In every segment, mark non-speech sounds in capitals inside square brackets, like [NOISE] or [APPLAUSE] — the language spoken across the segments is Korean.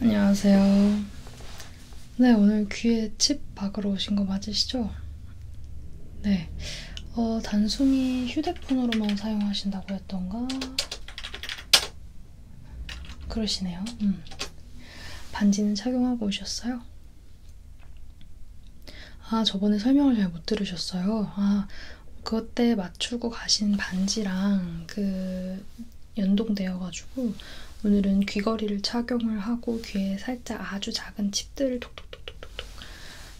안녕하세요. 네, 오늘 귀에 칩 박으러 오신 거 맞으시죠? 네. 어, 단순히 휴대폰으로만 사용하신다고 했던가? 그러시네요. 음. 반지는 착용하고 오셨어요? 아, 저번에 설명을 잘 못 들으셨어요. 아, 그때 맞추고 가신 반지랑 그 연동되어가지고 오늘은 귀걸이를 착용을 하고 귀에 살짝 아주 작은 칩들을 톡톡톡톡톡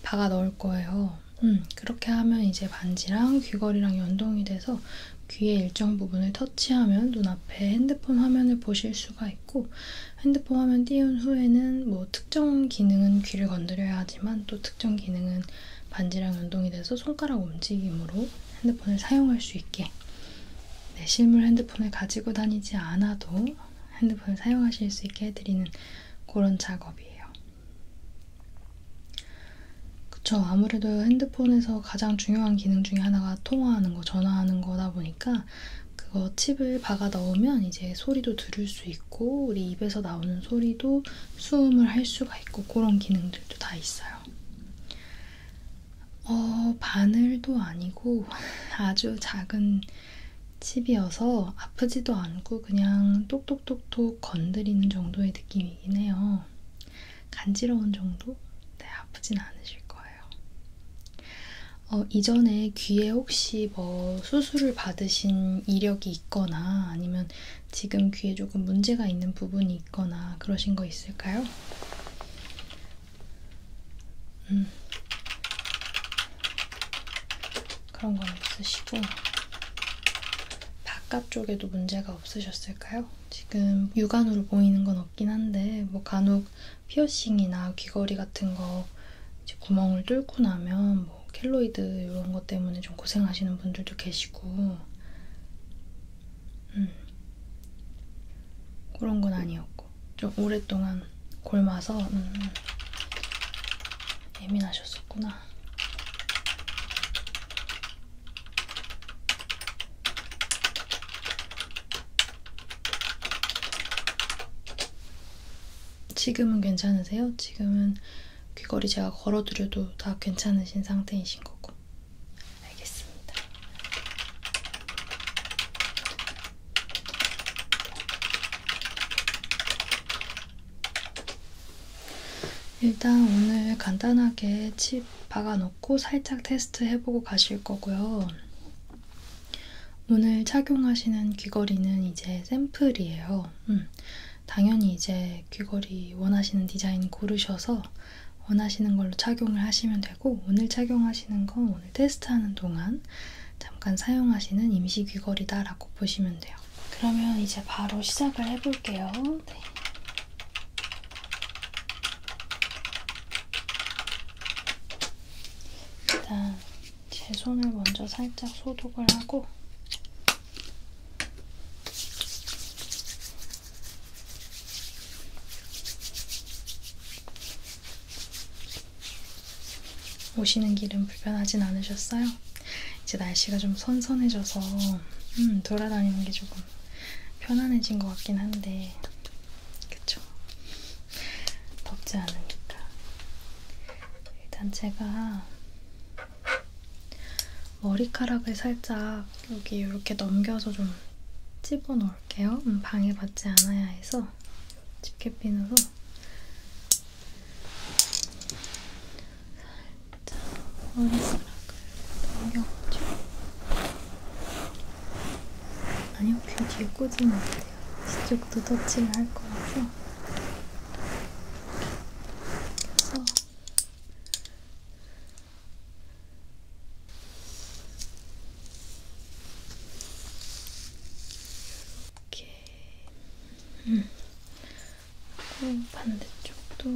박아 넣을 거예요. 음, 그렇게 하면 이제 반지랑 귀걸이랑 연동이 돼서 귀의 일정 부분을 터치하면 눈앞에 핸드폰 화면을 보실 수가 있고 핸드폰 화면 띄운 후에는 뭐 특정 기능은 귀를 건드려야 하지만 또 특정 기능은 반지랑 연동이 돼서 손가락 움직임으로 핸드폰을 사용할 수 있게 네, 실물 핸드폰을 가지고 다니지 않아도 핸드폰을 사용하실 수 있게 해드리는 그런 작업이에요. 그쵸 아무래도 핸드 핸드폰에서 가장 중요한 기능 중에 하나가 통화하는 거, 전화하는 거다 보니까 그거 칩을 박아 넣으면 이제 소리도 들을 수 있고 우리 입에서 나오는 소리도 수음을 할 수가 있고 그런 기능들도 다 있어요. 어, 바늘도 아니고 [LAUGHS] 아주 작은 칩이어서 아프지도 않고 그냥 똑똑똑똑 건드리는 정도의 느낌이긴 해요. 간지러운 정도? 네, 아프진 않으실 거예요. 어, 이전에 귀에 혹시 뭐 수술을 받으신 이력이 있거나 아니면 지금 귀에 조금 문제가 있는 부분이 있거나 그러신 거 있을까요? 음. 그런 건 없으시고 바깥쪽에도 문제가 없으셨을까요? 지금 육안으로 보이는 건 없긴 한데 뭐 간혹 피어싱이나 귀걸이 같은 거 이제 구멍을 뚫고 나면 뭐 켈로이드 이런 것 때문에 좀 고생하시는 분들도 계시고 음. 그런 건 아니었고 좀 오랫동안 골마서 음. 예민하셨었구나. 지금은 괜찮으세요? 지금은 귀걸이 제가 걸어드려도 다 괜찮으신 상태이신 거고. 알겠습니다. 일단 오늘 간단하게 칩 박아놓고 살짝 테스트 해보고 가실 거고요. 오늘 착용하시는 귀걸이는 이제 샘플이에요. 음, 당연히 이제 귀걸이 원하시는 디자인 고르셔서 원하시는 걸로 착용을 하시면 되고 오늘 착용하시는 건 오늘 테스트하는 동안 잠깐 사용하시는 임시 귀걸이다라고 보시면 돼요. 그러면 이제 바로 시작을 해볼게요. 네. 일단 제 손을 먼저 살짝 소독을 하고 오시는 길은 불편하진 않으셨어요? 이제 날씨가 좀 선선해져서 음, 돌아다니는 게 조금 편안해진 것 같긴 한데 그쵸? 덥지 않으니까. 일단 제가 머리카락을 살짝 여기 이렇게 넘겨서 좀 집어 넣을게요. 음, 방해받지 않아야 해서 집게핀으로 살짝 머리카락을 넘겨가지고 아니요, 귀 뒤에 꽂으면 안 돼요. 이쪽도 터치를 할 거라서. 그래서 이렇게 음. 음. 어, 반대쪽도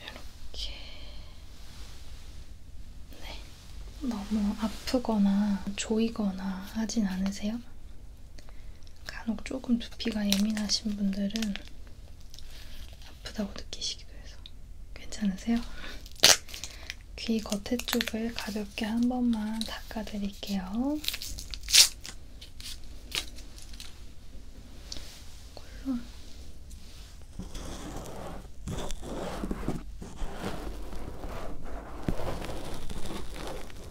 이렇게 네. 너무 아프거나 조이거나 하진 않으세요? 간혹 조금 두피가 예민하신 분들은 아프다고 느끼시기도 해서 괜찮으세요? [LAUGHS] 귀 겉에 쪽을 가볍게 한 번만 닦아드릴게요. 콜론.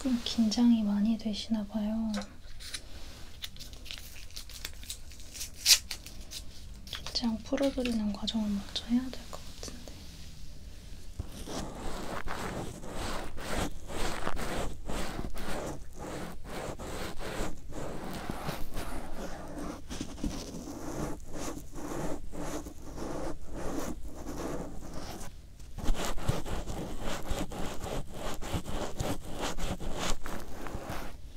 조금 긴장이 많이 되시나 봐요. 그냥 풀어드리는 과정을 먼저 해야 될 것 같은데.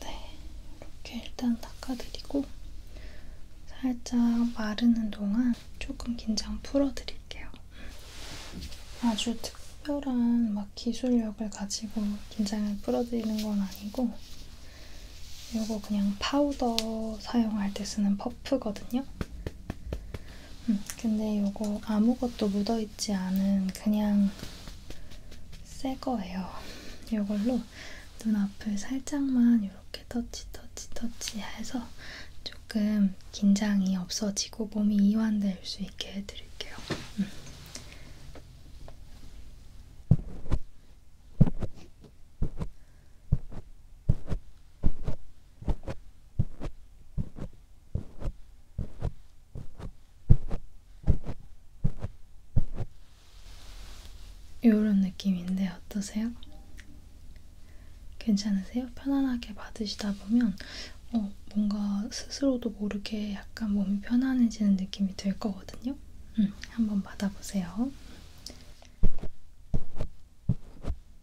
네, 이렇게 일단 닦아드리고 살짝 마르는 동안 조금 긴장 풀어드릴게요. 아주 특별한 막 기술력을 가지고 긴장을 풀어드리는 건 아니고 이거 그냥 파우더 사용할 때 쓰는 퍼프거든요. 음, 근데 이거 아무것도 묻어있지 않은 그냥 새 거예요. 이걸로 눈앞을 살짝만 이렇게 터치 터치 터치 해서 조금 긴장이 없어지고 몸이 이완될 수 있게 해드릴게요. 음. 요런 느낌인데 어떠세요? 괜찮으세요? 편안하게 받으시다 보면 어, 뭔가 스스로도 모르게 약간 몸이 편안해지는 느낌이 들 거거든요? 음, 한번 받아보세요.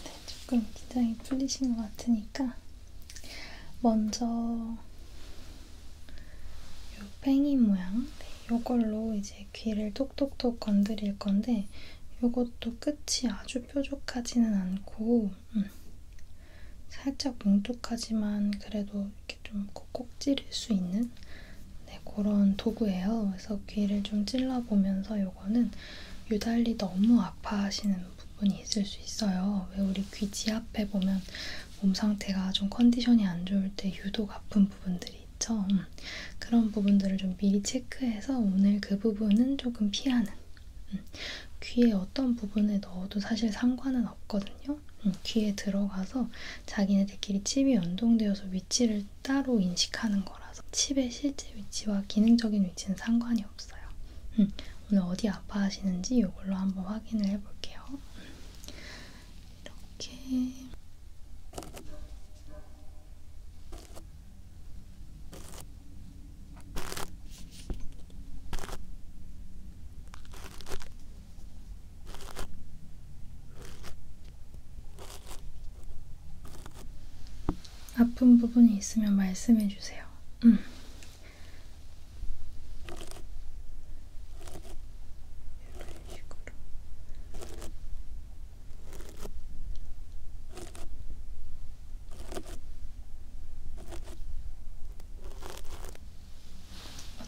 네, 조금 긴장이 풀리신 것 같으니까 먼저 요 팽이 모양, 네, 요걸로 이제 이제 귀를 톡톡톡 건드릴 건데 이것도 끝이 아주 뾰족하지는 않고 음, 살짝 뭉툭하지만 그래도 이렇게 좀 콕콕 찌를 수 있는 네, 그런 도구예요. 그래서 귀를 좀 찔러보면서 이거는 유달리 너무 아파하시는 부분이 있을 수 있어요. 왜 우리 귀지 앞에 보면 몸 상태가 좀 컨디션이 안 좋을 때 유독 아픈 부분들이 부분들이 있죠. 음, 그런 부분들을 좀 미리 체크해서 오늘 그 부분은 조금 피하는 음, 귀에 어떤 부분에 넣어도 사실 상관은 없거든요. 음, 귀에 들어가서 자기네들끼리 칩이 연동되어서 위치를 따로 인식하는 거라서 칩의 실제 위치와 기능적인 위치는 상관이 없어요. 음, 오늘 어디 아파하시는지 이걸로 한번 확인을 해볼게요. 음, 이렇게 아픈 부분이 있으면 말씀해 주세요. 음. 식으로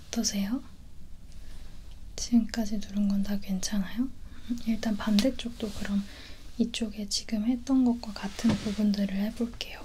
어떠세요? 지금까지 누른 건 다 괜찮아요? 일단 반대쪽도 그럼 이쪽에 지금 했던 것과 같은 부분들을 해볼게요.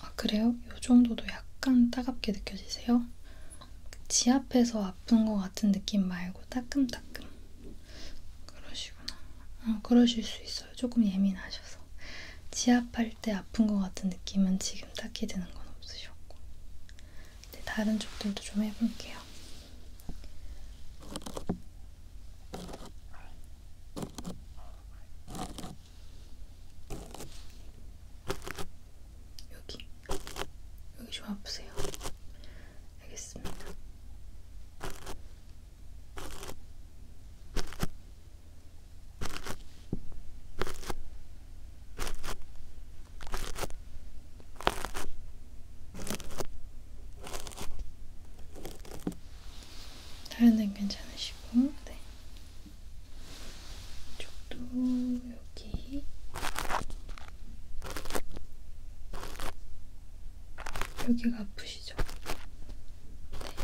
아 그래요? 이 정도도 약간 따갑게 느껴지세요? 지압해서 아픈 것 같은 느낌 말고 따끔따끔 그러시구나. 어, 그러실 수 있어요. 조금 예민하셔서 지압할 때 아픈 것 같은 느낌은 지금 딱히 드는 건 없으셨고. 네, 다른 쪽들도 좀 해볼게요. 여기 여기 좀 아프세요. 알겠습니다. 다른 데는 괜찮으시고, 네. 이쪽도 여기. 여기가 아프시죠? 네.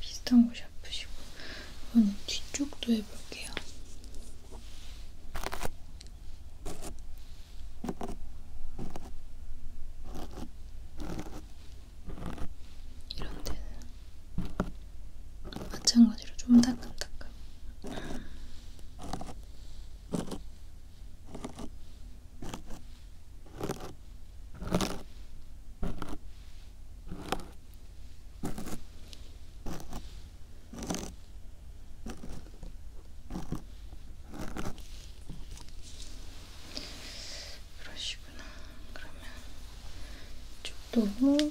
비슷한 곳이 아프시고 이번엔 뒤쪽도 해볼게요. 이런 데는 마찬가지로 좀 따끔따끔. 그러시구나. 그러면 이쪽도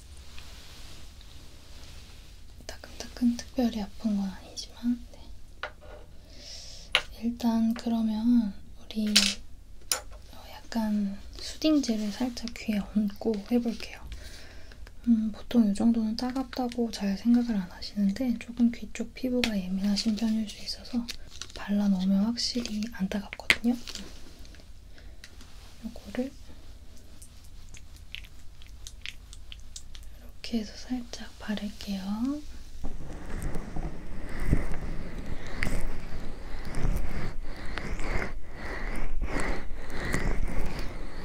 따끔따끔 특별히 아픈 건 아니지만 네. 일단 그러면 우리 어, 약간 수딩젤을 살짝 귀에 얹고 해볼게요. 음, 보통 이 정도는 따갑다고 잘 생각을 안 하시는데 조금 귀쪽 피부가 예민하신 편일 수 있어서 발라놓으면 확실히 안 따갑거든요. 이거를 이렇게 해서 살짝 바를게요.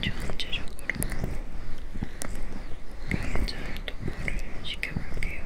전체적으로 살짝 도포를 시켜볼게요.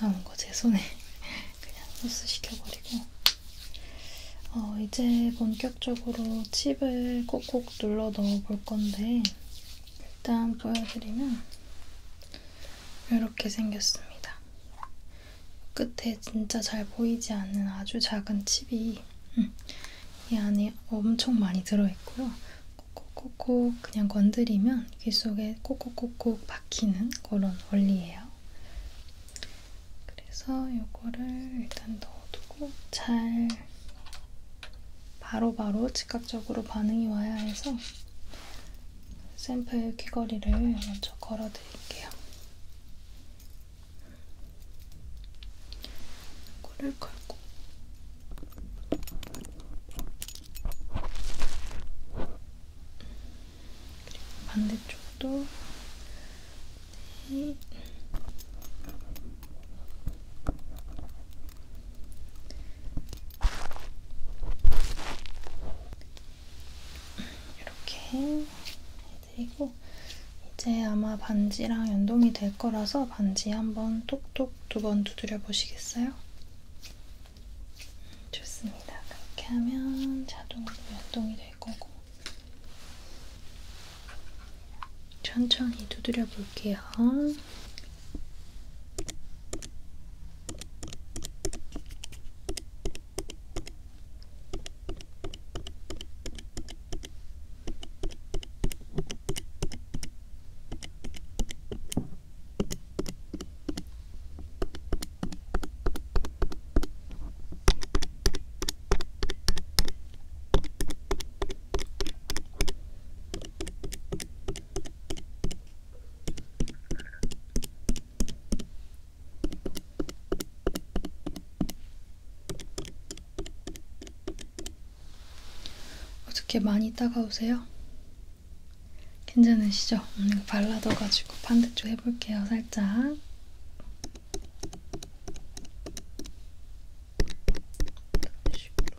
남은 거 제 손에 [LAUGHS] 그냥 소스 시켜버리고 어, 이제 본격적으로 칩을 콕콕 눌러 넣어볼 건데 일단 보여드리면 이렇게 생겼습니다. 끝에 진짜 잘 보이지 않는 아주 작은 칩이 음, 이 안에 엄청 많이 들어있고요. 콕콕콕콕 그냥 건드리면 귀 속에 콕콕콕콕 박히는 그런 원리예요. 그래서 이거를 일단 넣어두고 잘 바로바로 즉각적으로 반응이 와야 해서 샘플 귀걸이를 먼저 걸어드릴게요. 이거를 걸고 그리고 반대쪽도 네. 이렇게 해드리고 이제 아마 반지랑 연동이 될 거라서 반지 한번 톡톡 두 번 두드려 보시겠어요? 좋습니다. 그렇게 하면 자동으로 연동이 될 거고 천천히 두드려 볼게요. 어떻게 많이 따가우세요? 괜찮으시죠? 오늘 발라둬가지고 반대쪽 해볼게요, 살짝. 이런 식으로. 이렇게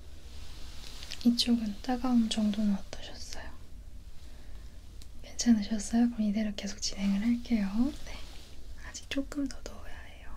이쪽은 따가움 정도는 어떠셨어요? 괜찮으셨어요? 그럼 이대로 계속 진행을 할게요. 네. 아직 조금 더 넣어야 해요.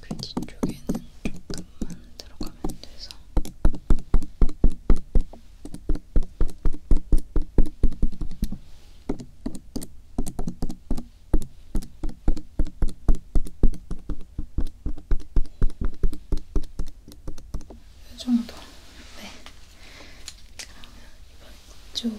그 뒤쪽에는 조금만 들어가면 돼서 이 정도. 네. 그러면 이번 쪽.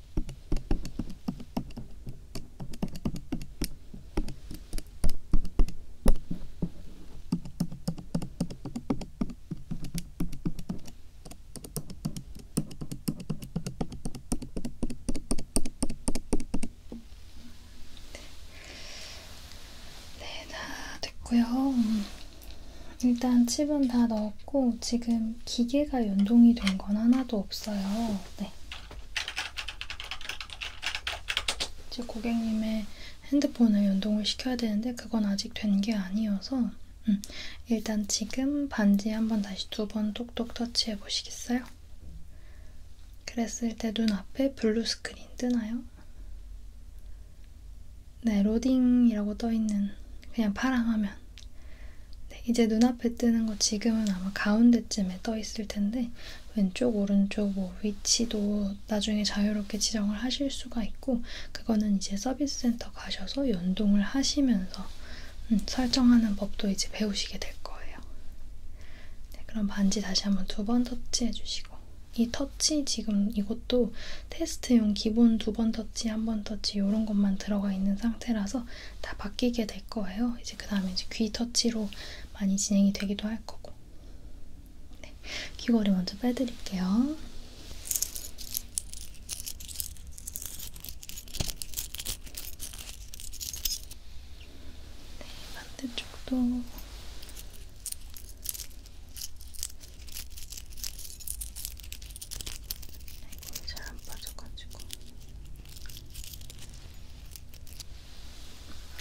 네, 다 됐고요. 음, 일단 칩은 다 넣었고 없고 지금 기계가 연동이 된 건 하나도 없어요. 네. 이제 고객님의 핸드폰을 연동을 시켜야 되는데 그건 아직 된 게 아니어서 음, 일단 지금 반지 한번 다시 두 번 똑똑 터치해 보시겠어요? 그랬을 때 눈앞에 블루 스크린 뜨나요? 네, 로딩이라고 떠있는 그냥 파란 화면 네, 이제 눈앞에 뜨는 거 지금은 아마 가운데쯤에 떠 있을 텐데 왼쪽 오른쪽 뭐 위치도 나중에 자유롭게 지정을 하실 수가 있고 그거는 이제 서비스 센터 가셔서 연동을 하시면서 음, 설정하는 법도 이제 배우시게 될 거예요. 네, 그럼 반지 다시 한번 두 번 터치해 주시고 이 터치 지금 이것도 테스트용 기본 두 번 터치, 한 번 터치 이런 것만 들어가 있는 상태라서 다 바뀌게 될 거예요. 이제 그 다음에 이제 귀 터치로 많이 진행이 되기도 할 거고. 네, 귀걸이 먼저 빼드릴게요. 네, 반대쪽도. 아이고 잘안 빠져가지고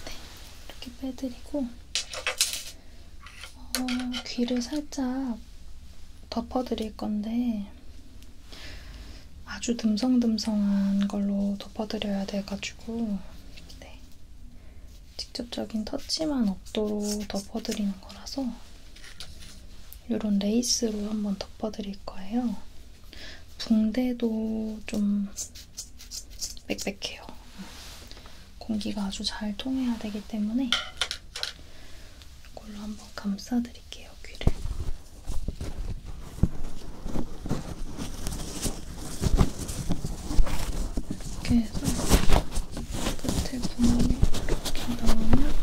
네 이렇게 빼드리고 어, 귀를 살짝 덮어드릴 건데 아주 듬성듬성한 걸로 덮어드려야 돼가지고 네. 직접적인 터치만 없도록 덮어드리는 거라서 이런 레이스로 한번 덮어드릴 거예요. 붕대도 좀 빽빽해요. 공기가 아주 잘 통해야 되기 때문에 이걸로 한번 감싸드릴게요, 귀를. 이렇게 해서 끝에 구멍을 이렇게 넣으면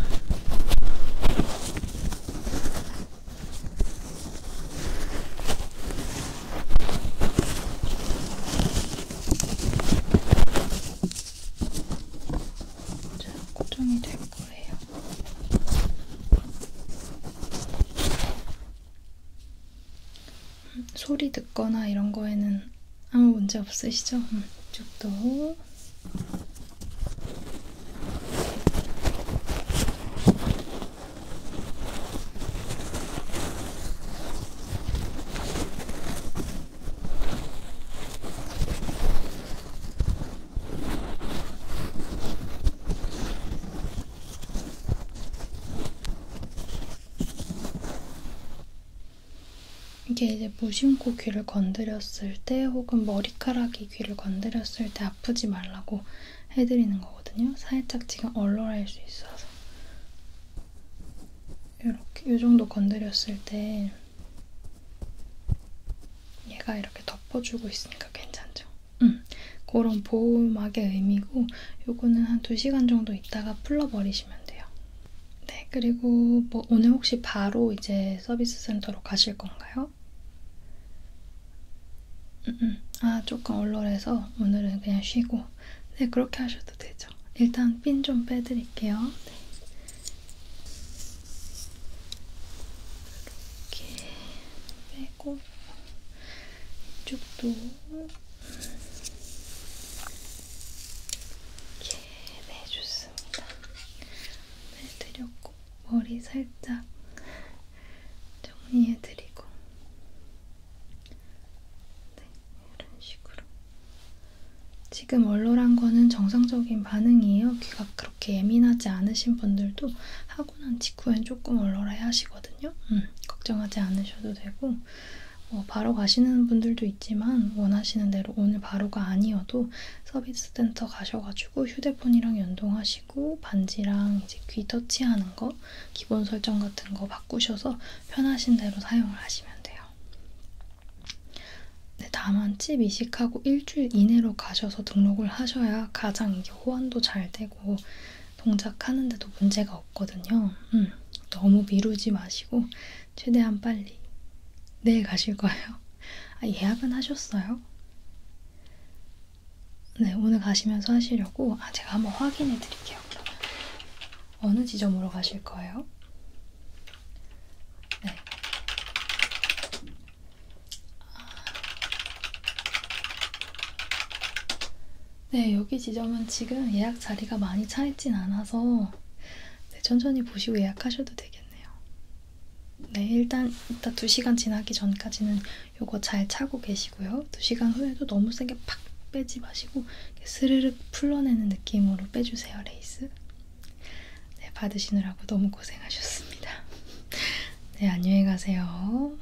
잘 고정이 될 거예요. 음, 소리 듣거나 이런 거에는 아무 문제 없으시죠? 음, 이쪽도 이게 이제 무심코 귀를 건드렸을 때 혹은 머리카락이 귀를 건드렸을 때 절대 아프지 말라고 해드리는 거거든요. 살짝 지금 얼얼할 수 있어서 이렇게 이 정도 건드렸을 때 얘가 이렇게 덮어주고 있으니까 괜찮죠. 음, 그런 보호막의 의미고 요거는 한 2시간 정도 있다가 풀러버리시면 돼요. 네, 그리고 뭐 오늘 혹시 바로 이제 서비스 센터로 가실 건가요? 해서 어? 음, 음. 아 조금 얼얼해서 오늘은 그냥 쉬고 네 그렇게 하셔도 되죠. 일단 핀 좀 빼드릴게요. 네. 이렇게 빼고 이쪽도 이렇게 네 좋습니다. 빼드렸고 해드리고 머리 살짝 정리해드리고 네, 이런 식으로 지금 얼얼한 거는 정상적인 반응이에요. 귀가 그렇게 예민하지 않으신 분들도 하고 난 직후엔 조금 얼얼해 하시거든요. 음, 걱정하지 않으셔도 되고 뭐 바로 가시는 분들도 있지만 원하시는 대로 오늘 바로가 아니어도 서비스 센터 가셔가지고 휴대 핸드폰이랑 연동하시고 반지랑 이제 귀 터치하는 거 기본 설정 같은 거 바꾸셔서 편하신 대로 사용을 하시면 돼요. 네, 다만 칩 이식하고 일주일 이내로 가셔서 등록을 하셔야 가장 이게 호환도 잘 되고 동작하는데도 문제가 없거든요. 음, 너무 미루지 마시고 최대한 빨리 내일 가실 거예요. 아, 예약은 하셨어요? 네, 오늘 가시면서 하시려고 아, 제가 한번 확인해 드릴게요. 그러면 어느 지점으로 가실 거예요? 네. 네, 여기 지점은 지금 예약 자리가 많이 차있진 않아서 네, 천천히 보시고 예약하셔도 되겠네요. 네, 일단 이따 2시간 지나기 전까지는 요거 잘 차고 계시고요. 2시간 후에도 너무 세게 팍 빼지 마시고 스르륵 풀러내는 느낌으로 빼주세요, 레이스. 네, 받으시느라고 너무 고생하셨습니다. [LAUGHS] 네, 안녕히 가세요.